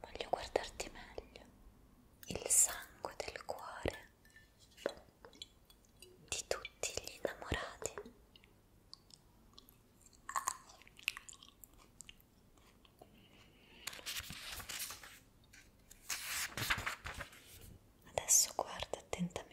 Voglio guardarti meglio. Il sangue del cuore di tutti gli innamorati. Adesso guarda attentamente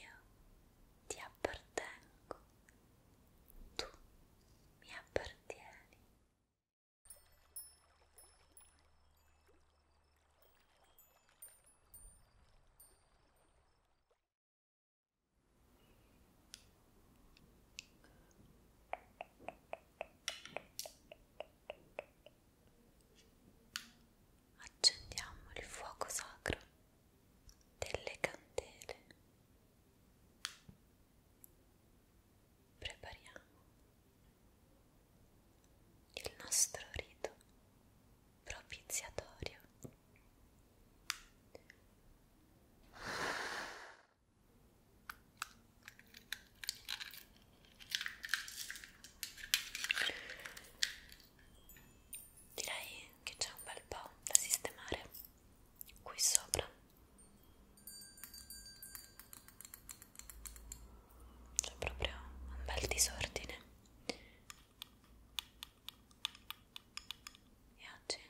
io ti appartengo, tu mi appartieni accendiamo il fuoco sacro delle candele prepariamo il nostro rito propiziatorio direi che c'è un bel po' da sistemare qui sopra c'è proprio un bel disordine e oggi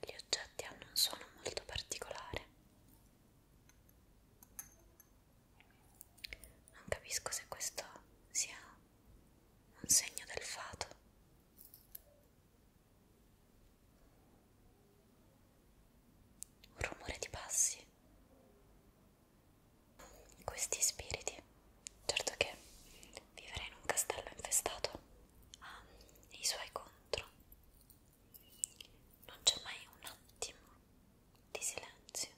gli oggetti hanno un suono molto particolare non capisco se questo sia un segno del fato. Un rumore di passi. Questi spiriti, certo che vivere in un castello infestato ha i suoi contro. Non c'è mai un attimo di silenzio,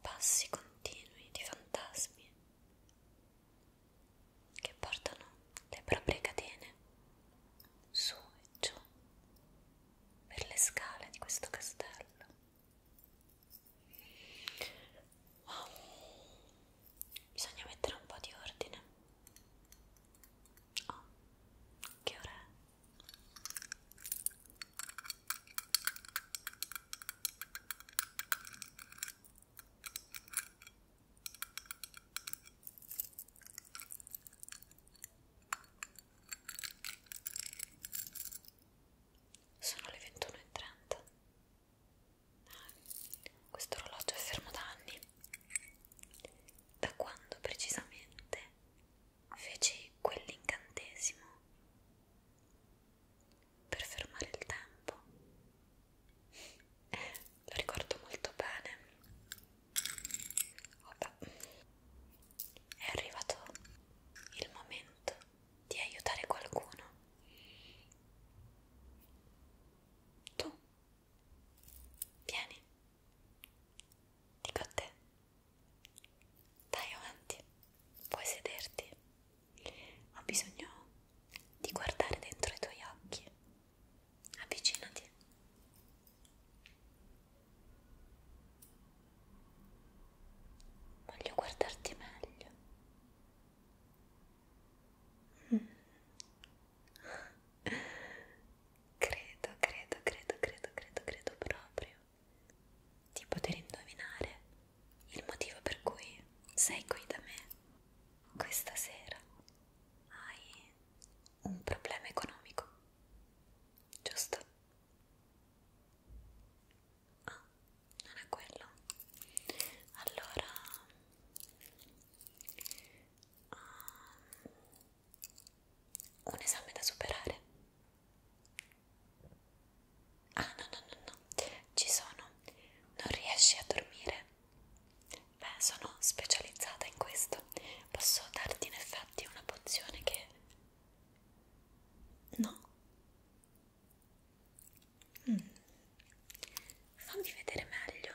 passi continui di fantasmi che portano le proprie catene su e giù per le scale di questo castello. Oh. Bisogna mettere un po' di ordine. Oh, che ora è? Sono le 21.30. Questo orologio è fermo da anni. Da quando precisamente? fece quell'incantesimo per fermare il tempo. Lo ricordo molto bene. Opa. È arrivato il momento di aiutare qualcuno. Tu Vieni, dico a te. Dai avanti, puoi sederti. Ho bisogno di guardare dentro i tuoi occhi. Avvicinati. Voglio guardarti meglio. Mm credo, credo, credo, credo, credo, credo proprio di poter indovinare il motivo per cui sei qui da me questa sera. Hai un problema economico, giusto? Ah, non è quello. Allora... Um, un esame da superare ah no no no no ci sono non riesci a dormire beh sono specializzata in questo posso darti in effetti una pozione che no mm. fammi vedere meglio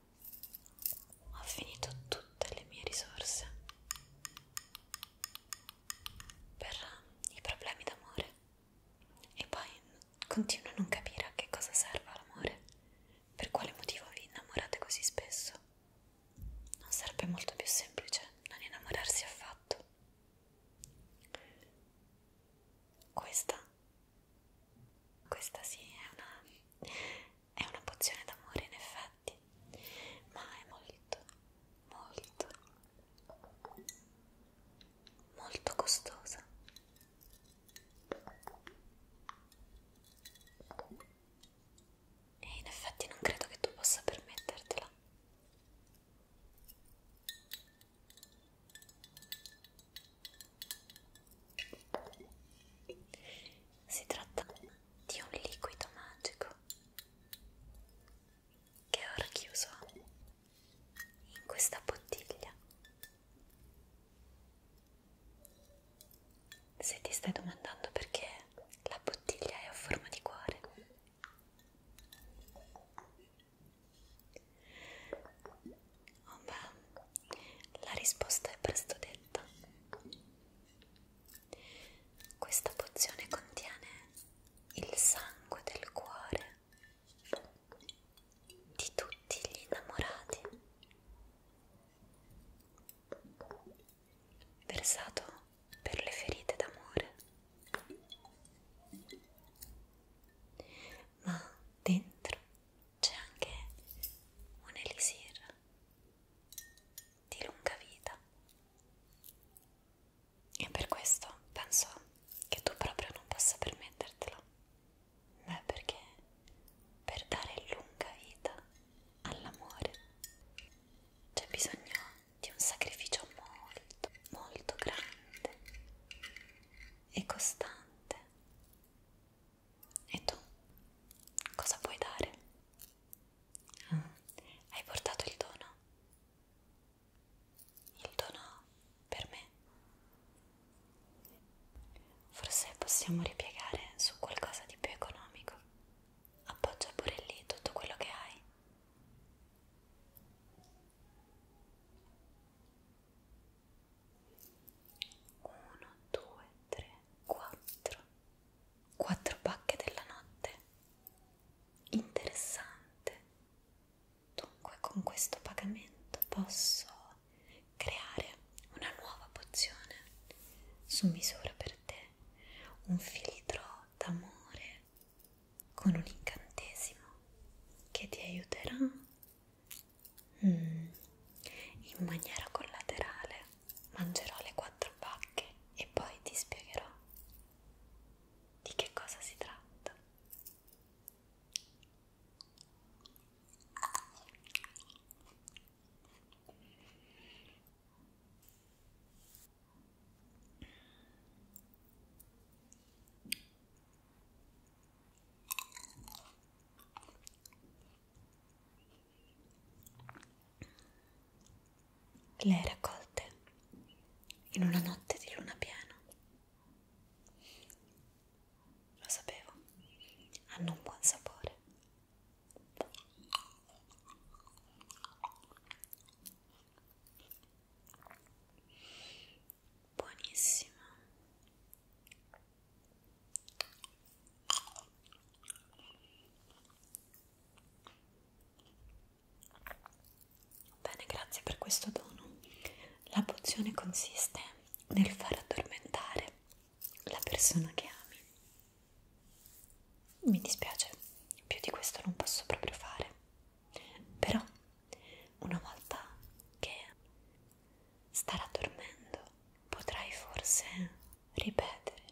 ho finito tutte le mie risorse per eh, i problemi d'amore e poi continuo a non capire a che cosa serva l'amore, per quale motivo vi innamorate così spesso. Non sarebbe molto più semplice non innamorarsi affatto. Questa, questa sì è una è una pozione d'amore in effetti, ma è molto, molto, molto costosa. E in effetti non credo che tu possa permettertela. Si tratta di un liquido magico che ho racchiuso in questa bottiglia. Se ti stai domandando perché la bottiglia è a forma di cuore, Oh beh, la risposta è presto detta. Questa pozione contiene il sangue del cuore di tutti gli innamorati. Versato per le ferite d'amore. Ma dentro c'è anche un elisir di lunga vita e per questo penso che tu proprio non possa permettertelo beh perché per dare lunga vita all'amore c'è bisogno di un sacrificio molto molto grande e costante e tu? Cosa puoi dare? Ah, hai portato il dono? Il dono per me? Forse possiamo ripiegare su qualcosa di più economico. Appoggia pure lì tutto quello che hai. 1, 2, 3, 4 4 pacche della notte interessante dunque con questo pagamento posso creare una nuova pozione su misura per te un filtro d'amore con un incantesimo che ti aiuterà Mm. In maniera collaterale mangerò le quattro bacche e poi ti spiegherò di che cosa si tratta. Mm. Le raccolte in una notte di luna piena. Lo sapevo, hanno un buon sapore buonissima Bene, grazie per questo dono. La pozione consiste nel far addormentare la persona che ami. Mi dispiace, più di questo non posso proprio fare. Però, una volta che starà dormendo, potrai forse ripetere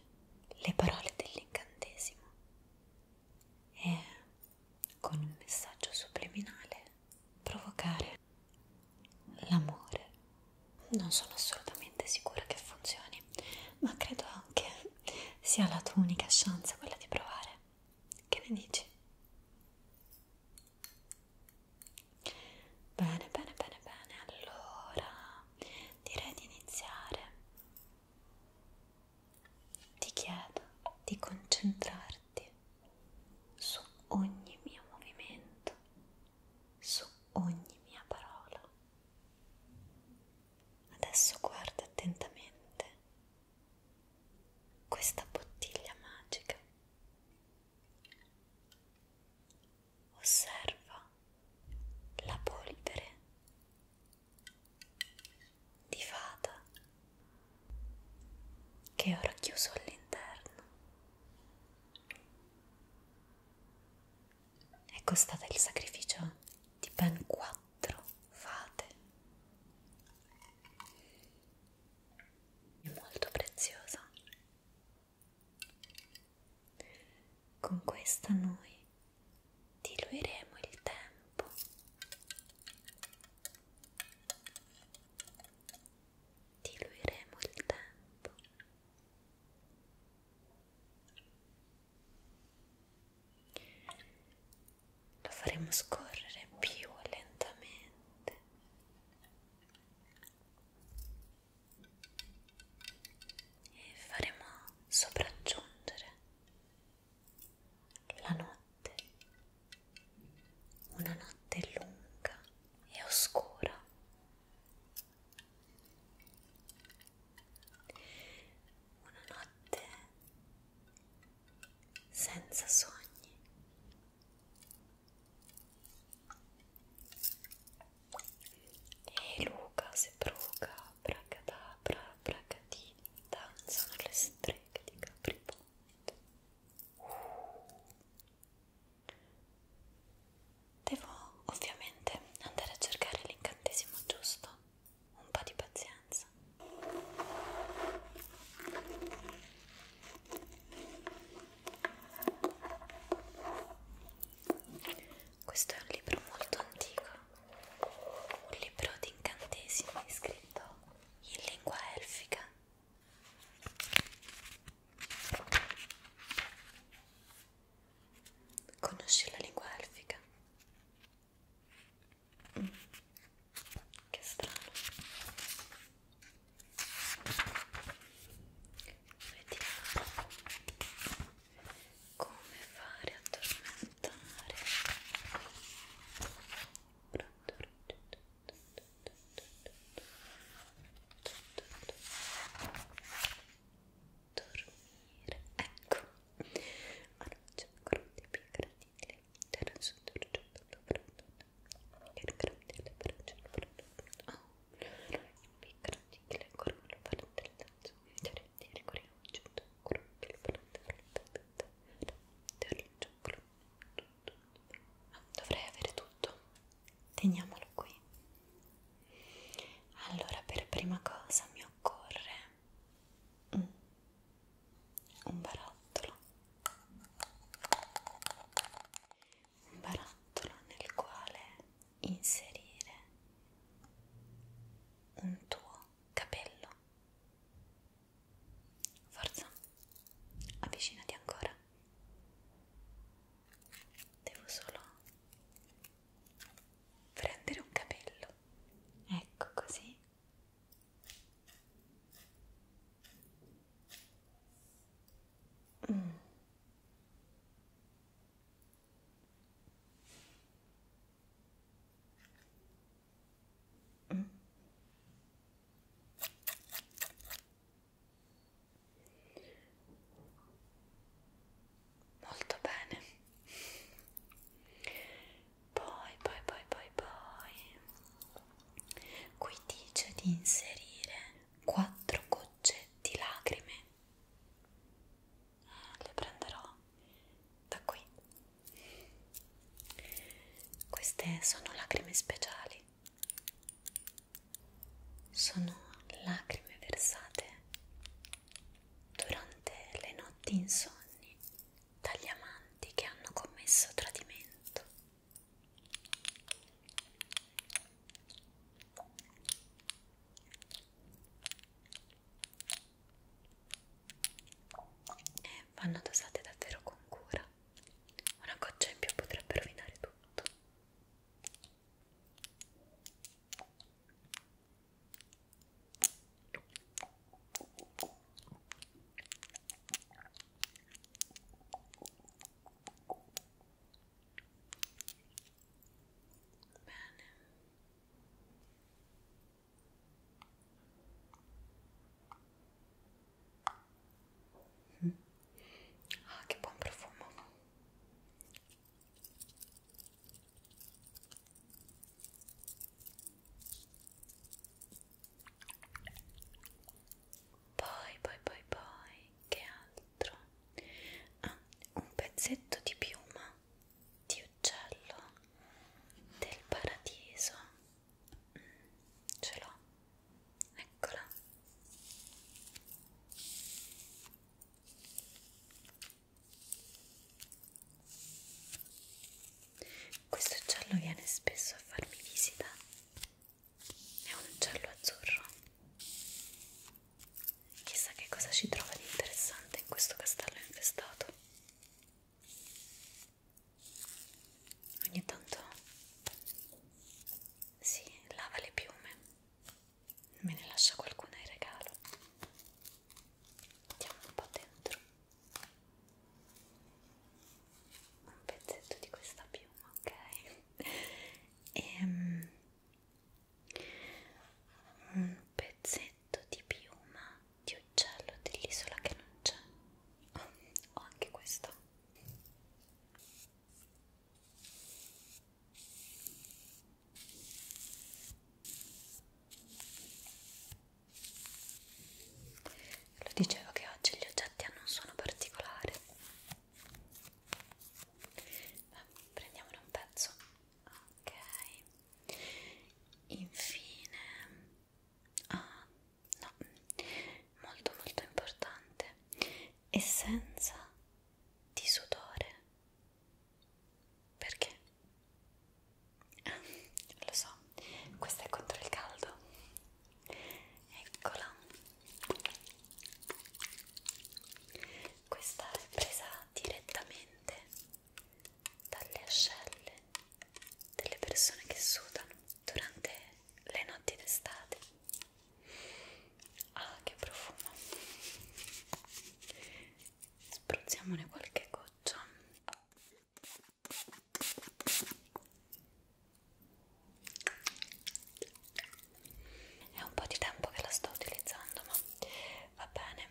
le parole dell'incantesimo e con un messaggio subliminale provocare l'amore. Non sono assolutamente sicura che funzioni, ma credo anche sia la tua unica chance quella di provare. Che ne dici? Bene, bene, bene, bene. Allora, direi di iniziare. Ti chiedo di concentrarti su ogni mio movimento, su ogni mia parola. Adesso guarda attentamente questa bottiglia magica Osserva la polvere di fata che è ora chiuso all'interno. È costato il sacrificio di ben quattro fate è molto preziosa. Con questa noi diluiremo il tempo diluiremo il tempo lo faremo scorrere più lentamente e faremo sopraggiungere la notte, una notte lunga e oscura. Una notte senza sogni, e Luca se bruca, bracadabra, bracatini, danzano le streghe di Capriponte. Devo ovviamente andare a cercare l'incantesimo giusto, un po' di pazienza. Questo è un libro molto antico, un libro di incantesimi scritto in lingua elfica. Conosci la lingua elfica? Mm. Che strano. Vediamo come fare a tormentare. Dormire, ecco, allora c'è ancora un tipo gradibile Dovrei avere tutto. Teniamolo qui. Allora, per prima cosa mi occorre un barattolo un barattolo nel quale inserire un tuo capello forza avvicinati ancora devo solo prendere un capello ecco così Mm. Mm. Molto bene. Poi, poi, poi, poi, poi Qui dice di inserire quattro gocce di lacrime. Ah, le prenderò da qui. Queste sono lacrime speciali. Sono lacrime versate durante le notti insonni dagli amanti che hanno commesso tradimento vanno dosate davvero con cura una goccia in più potrebbe rovinare tutto Hum. Ah, que bom perfume. Poi, poi, poi, poi, che altro? Ah, un pezzetto di piuma di uccello del paradiso. Mm, ce l'ho, eccola. Questo uccello viene spesso a farmi visita. È un uccello azzurro. Chissà che cosa ci trova di interessante in questo castello infestato. Ogni tanto si lava le piume, me ne lascia qualcuna in regalo. Andiamo un po' dentro un pezzetto di questa piuma, ok? E, um, un pezzetto di piuma di uccello dell'isola che non c'è. Oh, ho anche questo. Lo dicevo che oggi gli oggetti hanno un suono particolare. Beh, prendiamone un pezzo. Ok. Infine... Ah, no. Molto molto importante. Essenza di sudore. Perché? Lo so, questa è contro il caldo. Eccola. Questa è presa direttamente dalle ascelle delle persone che sudano durante le notti d'estate. Ah, che profumo! Spruzziamone qualche goccia. È un po' di tempo che la sto utilizzando, ma va bene.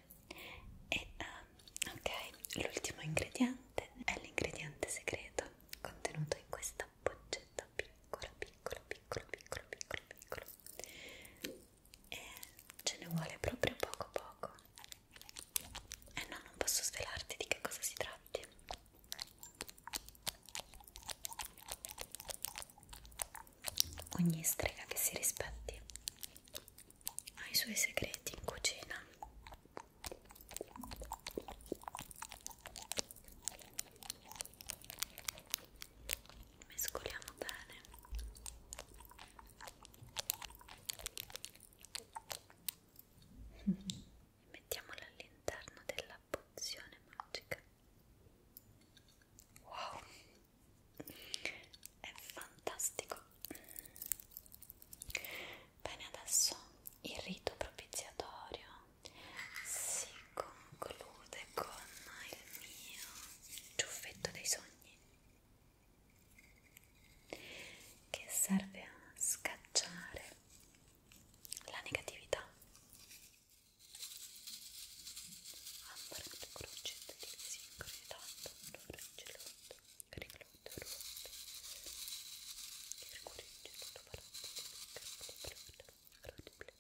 E uh, ok, l'ultimo ingrediente è l'ingrediente segreto contenuto in questa boccetta piccola, piccola, piccola, piccola, piccola, piccola. E ce ne vuole proprio poco poco. E eh no, non posso svelarti di che cosa si tratti. Ogni strega che si rispetti ha i suoi segreti in cucina. Mescoliamo bene mettiamola all'interno della pozione magica wow è fantastico bene adesso il rito propiziatorio si conclude con il mio ciuffetto dei sogni che serve a scacciare la negatività. Ambrando crocetto di sincronizzato, reggelotto, reggelotto, rotto, reggelotto, parapetto, rotto, blecco, reggelotto, rotto, blecco,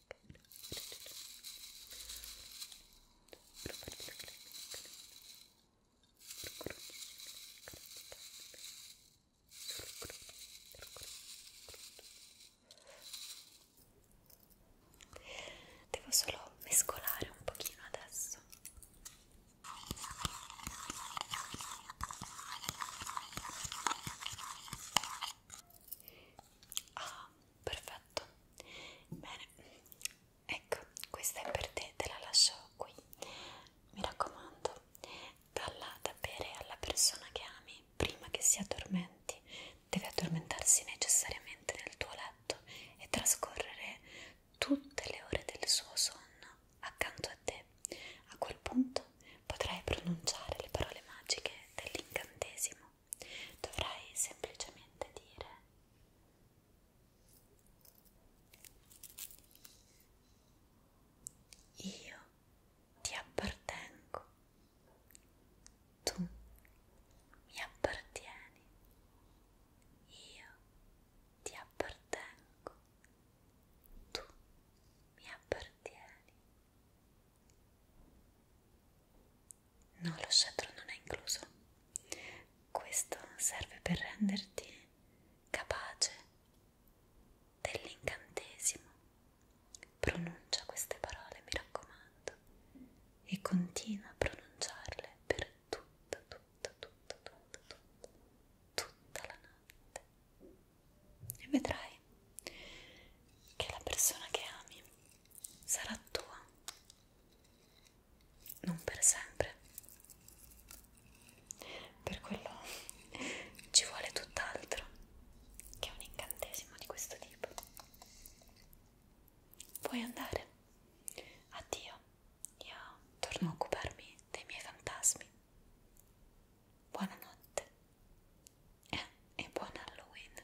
Devo solo mescolare un pochino adesso. Ah, perfetto. Bene, ecco questa è per te te la lascio qui mi raccomando dalla da bere alla persona che ami prima che si addormenti deve addormentarsi necessariamente nel tuo letto e trascorrere tutte le ore del suo sonno accanto a te a quel punto potrai pronunciare le parole magiche dell'incantesimo dovrai semplicemente dire io ti appartengo, tu mi appartieni, io ti appartengo, tu mi appartieni. No, lo scettro non è incluso. Questo serve per renderti capace dell'incantesimo. Pronuncia queste parole, mi raccomando, e continua a pronunciarle per tutta, tutta, tutta, tutta, tutta, tutta la notte. E vedrai che la persona che ami sarà tua non per sempre. Per quello ci vuole tutt'altro che un incantesimo di questo tipo. Puoi andare. Addio. Io torno a occuparmi dei miei fantasmi. Buonanotte. Eh, e buon Halloween.